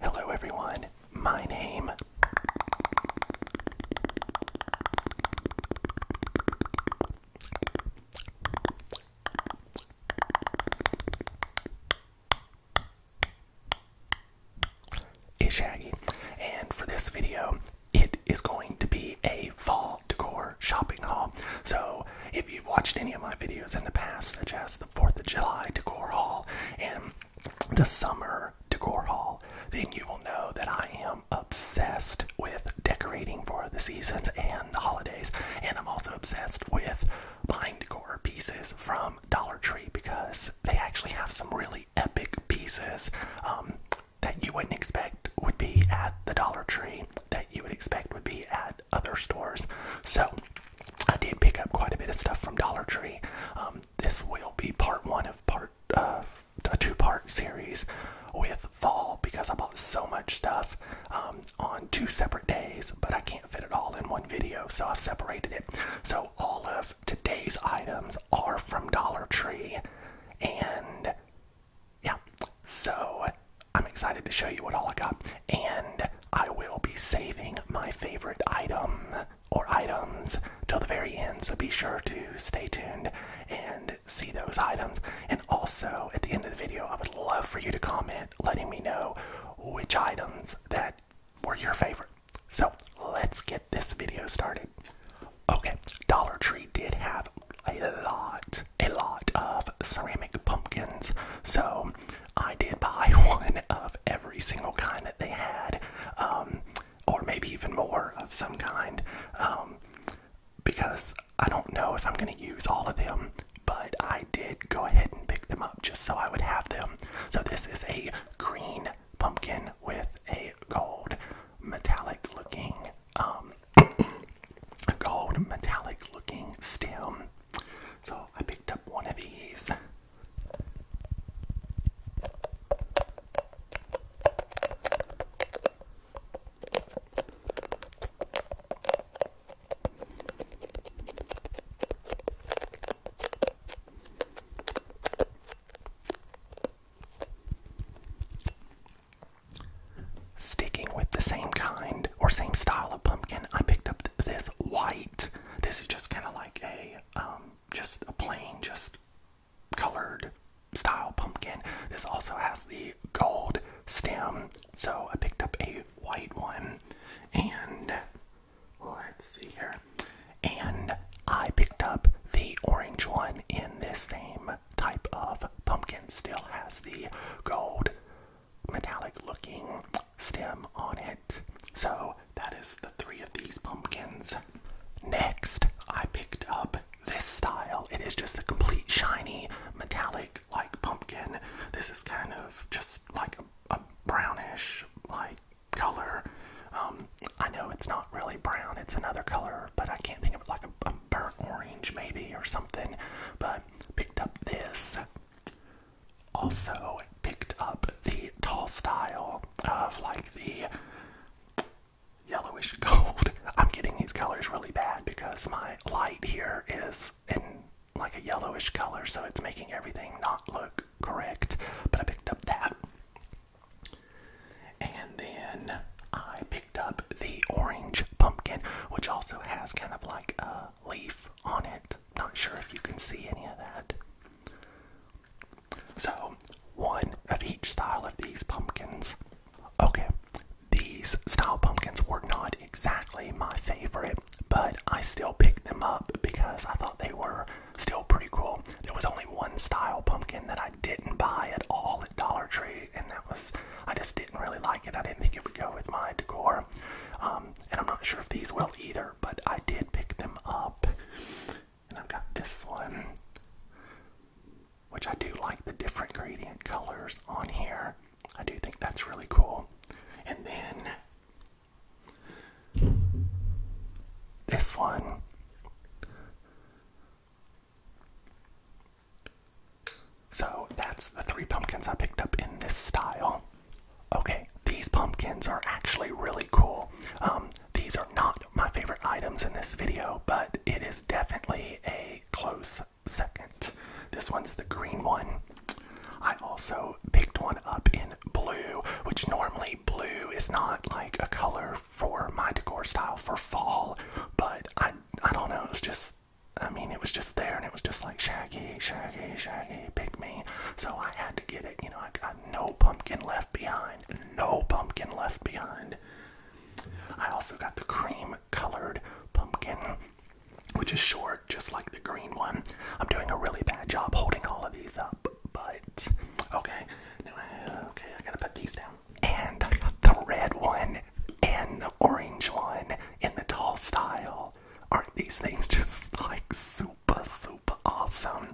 Hello, everyone. My name is Shaggy, and for this video, it is going to be a fall decor shopping haul. So, if you've watched any of my videos in the past, such as the 4th of July decor haul, and the summer decor haul, then you will know that I am obsessed with decorating for the seasons and the holidays. And I'm also obsessed with buying decor pieces from Dollar Tree because they actually have some really epic pieces um, that you wouldn't expect would be at the Dollar Tree, that you would expect would be at other stores. So, I did pick up quite a bit of stuff from Dollar Tree. Um, this will be part one of part uh, a two-part series with fall because I bought so much stuff um, on two separate days, but I can't fit it all in one video, so I've separated it. So all of today's items are from Dollar Tree, and yeah, so I'm excited to show you what all I got, and I will be saving my favorite item or items till the very end, so be sure to stay tuned and see those items. And also, at the end of the video, I would love for you to comment letting me know which items that were your favorite. So, let's get this video started. Okay, Dollar Tree did have a lot, a lot of ceramic pumpkins, so I did buy one of every single kind that they had, um, or maybe even more of some kind, um, because I don't know if I'm going to use all of them, but I did go ahead and pick them up just so I would have them. So this is a green pumpkin with a gold metallic looking a um, gold metallic looking stem so i picked up one of these Sticking with the same kind or same style of pumpkin, I picked up this white. This is just kind of like a um, just a plain, just colored style pumpkin. This also has the gold stem, so I picked up a white one. And let's see here. And I picked up the orange one in this same type of pumpkin. Still has the gold metallic looking stem on it. So that is the three of these pumpkins. Next, I picked up this style. It is just a complete shiny metallic like pumpkin. This is kind of just like a, brownish like color. Um, I know it's not really brown, it's another color, but I can't think of like a, a burnt orange maybe or something. But picked up this also picked up the tall style of like the yellowish gold. I'm getting these colors really bad because my light here is in like a yellowish color, so it's making everything not look correct. But I picked up that. And then I picked up the orange pumpkin, which also has kind of like a leaf on it. Not sure if you can see any of that. So, one of each style of these pumpkins. Okay, these style pumpkins were not exactly my favorite, but I still picked them up because I thought they were still pretty cool. There was only one style pumpkin that I didn't buy at all at Dollar Tree, and that was I just didn't really like it. I didn't think it would go with my decor. Um, and I'm not sure if these will either, but I did pick them up. And I've got this one, which I do like the different gradient colors on here. I do think that's really cool. And then this one. So that's the three pumpkins I picked up in this style. Okay, these pumpkins are actually really cool. Um, these are not my favorite items in this video, but it is definitely a close second. This one's the green one. I also picked one up in blue, which normally blue is not like a color for my decor style for fall, but I I don't know, It was just I mean, it was just there, and it was just like Shaggy, Shaggy, Shaggy, pick me. So I had to get it. You know, I, got no pumpkin left behind. No pumpkin left behind. I also got the cream colored pumpkin, which is short, just like the green one. I'm doing a really bad job holding all of these up, but okay. Uh, okay, I gotta put these down. And I got the red one and the orange one in the tall style. Aren't these things just like super, super awesome?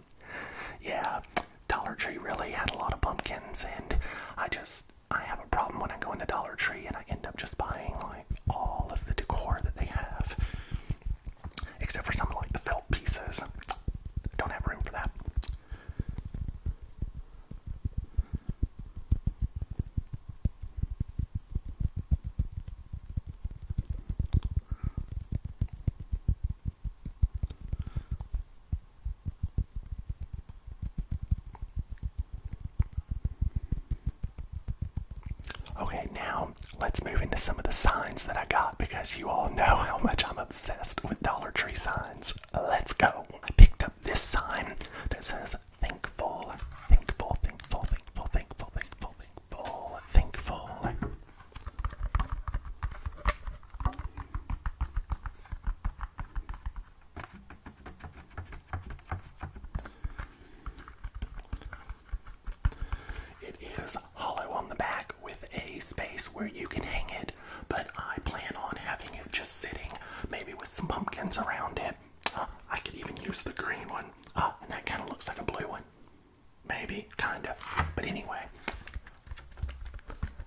Yeah, Dollar Tree really had a lot of pumpkins, and I just I have a problem when I go into Dollar Tree and I end up just buying like all of the decor that they have, except for something like the felt pieces. I don't have room for that. Okay, now let's move into some of the signs that I got because you all know how much I'm obsessed with Dollar Tree signs. Let's go. I picked up this sign that says thankful, thankful, thankful, thankful, thankful, thankful, thankful, thankful, it is hollow on the back with a space where you can hang it, but I plan on having it just sitting, maybe with some pumpkins around it. I could even use the green one, uh, and that kind of looks like a blue one. Maybe, kinda. But anyway,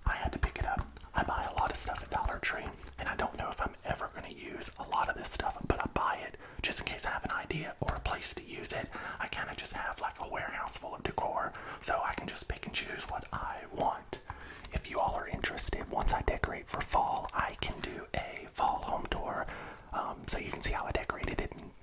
I had to pick it up. I buy a lot of stuff at Dollar Tree, and I don't know if I'm ever going to use a lot of this stuff, but I buy it just in case I have an idea or a place to use it. I kind of just have like a warehouse full of decor, so I can just pick and choose what I want. If you all are interested, once I decorate for fall, I can do a fall home tour um, so you can see how I decorated it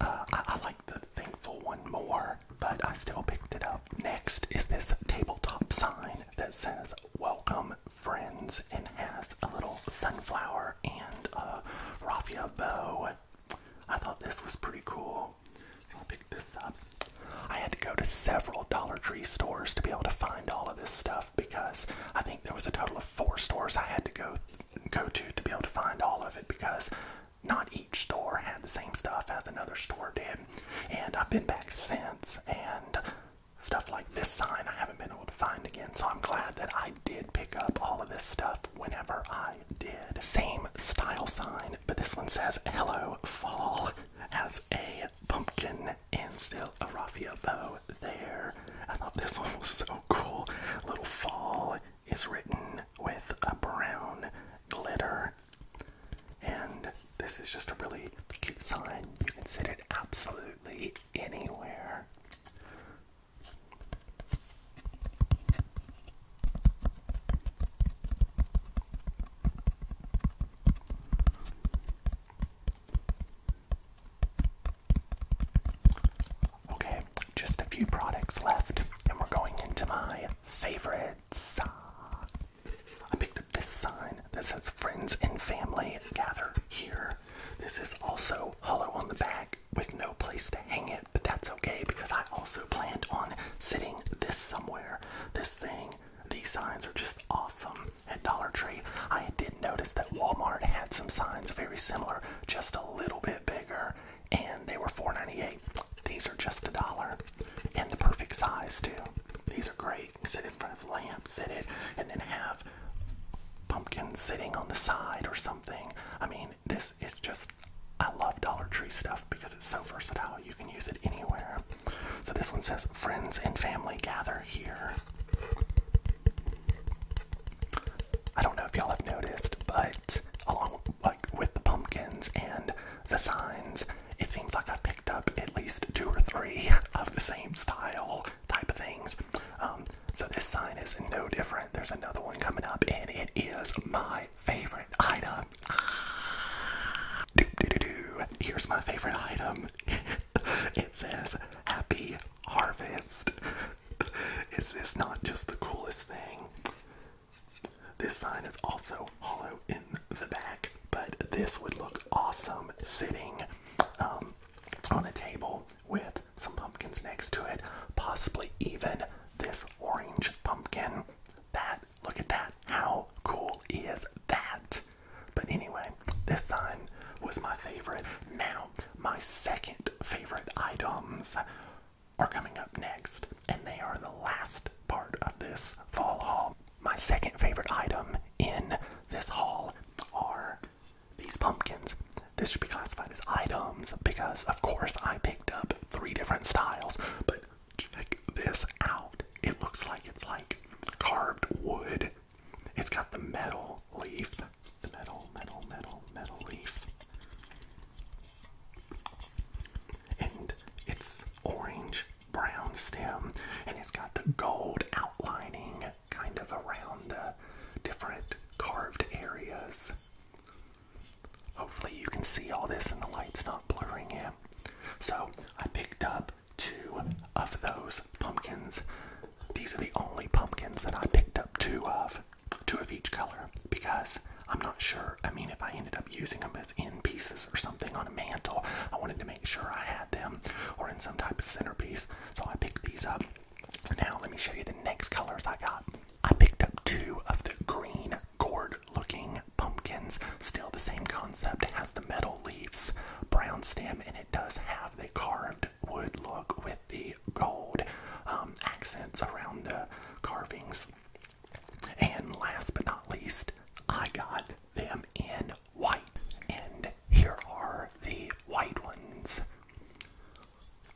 uh, I, like the thankful one more, but I still picked it up. Next is this tabletop sign that says "Welcome, friends," and has a little sunflower and a raffia bow. I thought this was pretty cool, I picked this up. I had to go to several Dollar Tree stores to be able to find all of this stuff because I think there was a total of four stores I had to go go to to be able to find all of it because not each store had the same stuff as another store did. And I've been back since, and stuff like this sign I haven't been able to find again. So I'm glad that I did pick up all of this stuff whenever I did. Same style sign, but this one says Hello Fall as a pumpkin and still a raffia bow there. I thought this one was so cool. Little fall is written with a brown glitter. And this is just a really cute sign. You can sit it absolutely anywhere. Okay, just a few products left, and we're going into my favorites. I picked up this sign that says Friends and Family Gather Here. This is also hollow on the back with no place to hang it, but that's okay because I also planned on sitting this somewhere. This thing, these signs are just awesome at Dollar Tree. I did notice that Walmart had some signs very similar, just a little bit bigger, and they were $4.98. These are just a dollar, and the perfect size too. These are great. sit in front of lamps, lamp, sit it, and then have pumpkins sitting on the side or something. I mean, this is just. I love Dollar Tree stuff because it's so versatile. You can use it anywhere. So this one says, "Friends and family gather here." I don't know if y'all have noticed, but along with the pumpkins and the signs, it seems like I picked up at least two or three of the same style type of things. Um, so this sign is no different. There's another one coming up, and it is my favorite item. Doo -doo -doo -doo. Here's my favorite item. it says "Happy Harvest." Is this not just the coolest thing? This sign is also hollow in the back, but this would look awesome sitting um, on a table with some pumpkins next to it, possibly even this orange pumpkin. That, look at that. How cool is that? But anyway, this sign was my favorite. Now, my second favorite items are coming up next, and they are the last part of this fall haul. My second favorite item in this haul are these pumpkins. This should be classified as items because, of course, I picked up three different styles, but check this out. It looks like it's like carved wood. It's got the metal leaf the metal, metal, metal, metal leaf. And it's orange brown stem and it's got the gold outlining kind of around the different carved areas. Hopefully, you can see all this and the light's not blurring it. So, I picked up two of those pumpkins. These are the only pumpkins that I picked up two of two of each color because I'm not sure. I mean, if I ended up using them as end pieces or something on a mantle, I wanted to make sure I had them or in some type of centerpiece, so I picked these up. Now, let me show you the next colors I got. I picked up two of the green gourd looking pumpkins. Still the same concept, it has the metal leaves, brown stem, and it does have the carved wood look with the gold um, accents around the carvings. And last but not least, I got them in white. And here are the white ones.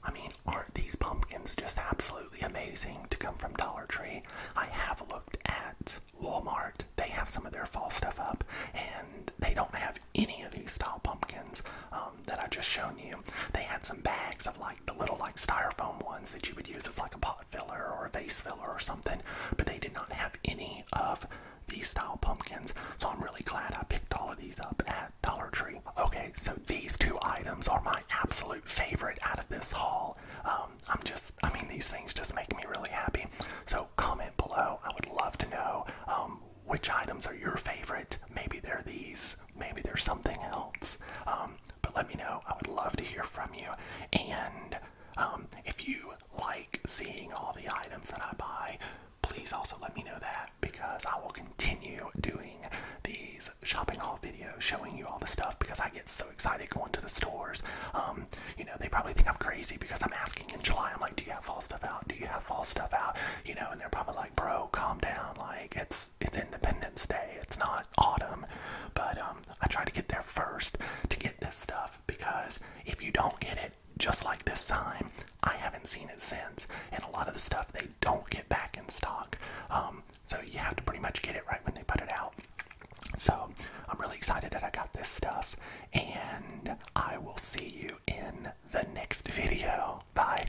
I mean, aren't these pumpkins just absolutely amazing to come from Dollar Tree? I have looked at Walmart. They have some of their fall stuff up, and they don't have any of these style pumpkins um, that I just shown you. They had some bags of like the little like styrofoam ones that you would use as like a pot filler or a vase filler or something, but they did not have any of these style pumpkins. So I'm really glad I picked all of these up at Dollar Tree. Okay, so these two items are my absolute favorite out of this haul. Um, I'm just, I mean, these things just make me really happy. So comment below. I would love to know um, which items are your favorite. Maybe they're these. Maybe there's something else. Um, but let me know. I would love to hear from you. And um, if you like seeing all the items that I buy, please also let me know that because I will continue doing these shopping haul videos showing you all the stuff because I get so excited going to the stores. Um, you know, they probably think I'm crazy because I'm asking in July, I'm like, do you have fall stuff out? Do you have fall stuff out? You know, and they're probably like, bro, calm down. Like, it's it's Independence Day. It's not autumn, but um, I try to get there first to get this stuff because if you don't get it, just like this time, I haven't seen it since. And a lot of the stuff they don't get back in stock, um, so you have to pretty much get it right when they put it out. So I'm really excited that I got this stuff, and I will see you in the next video. Bye.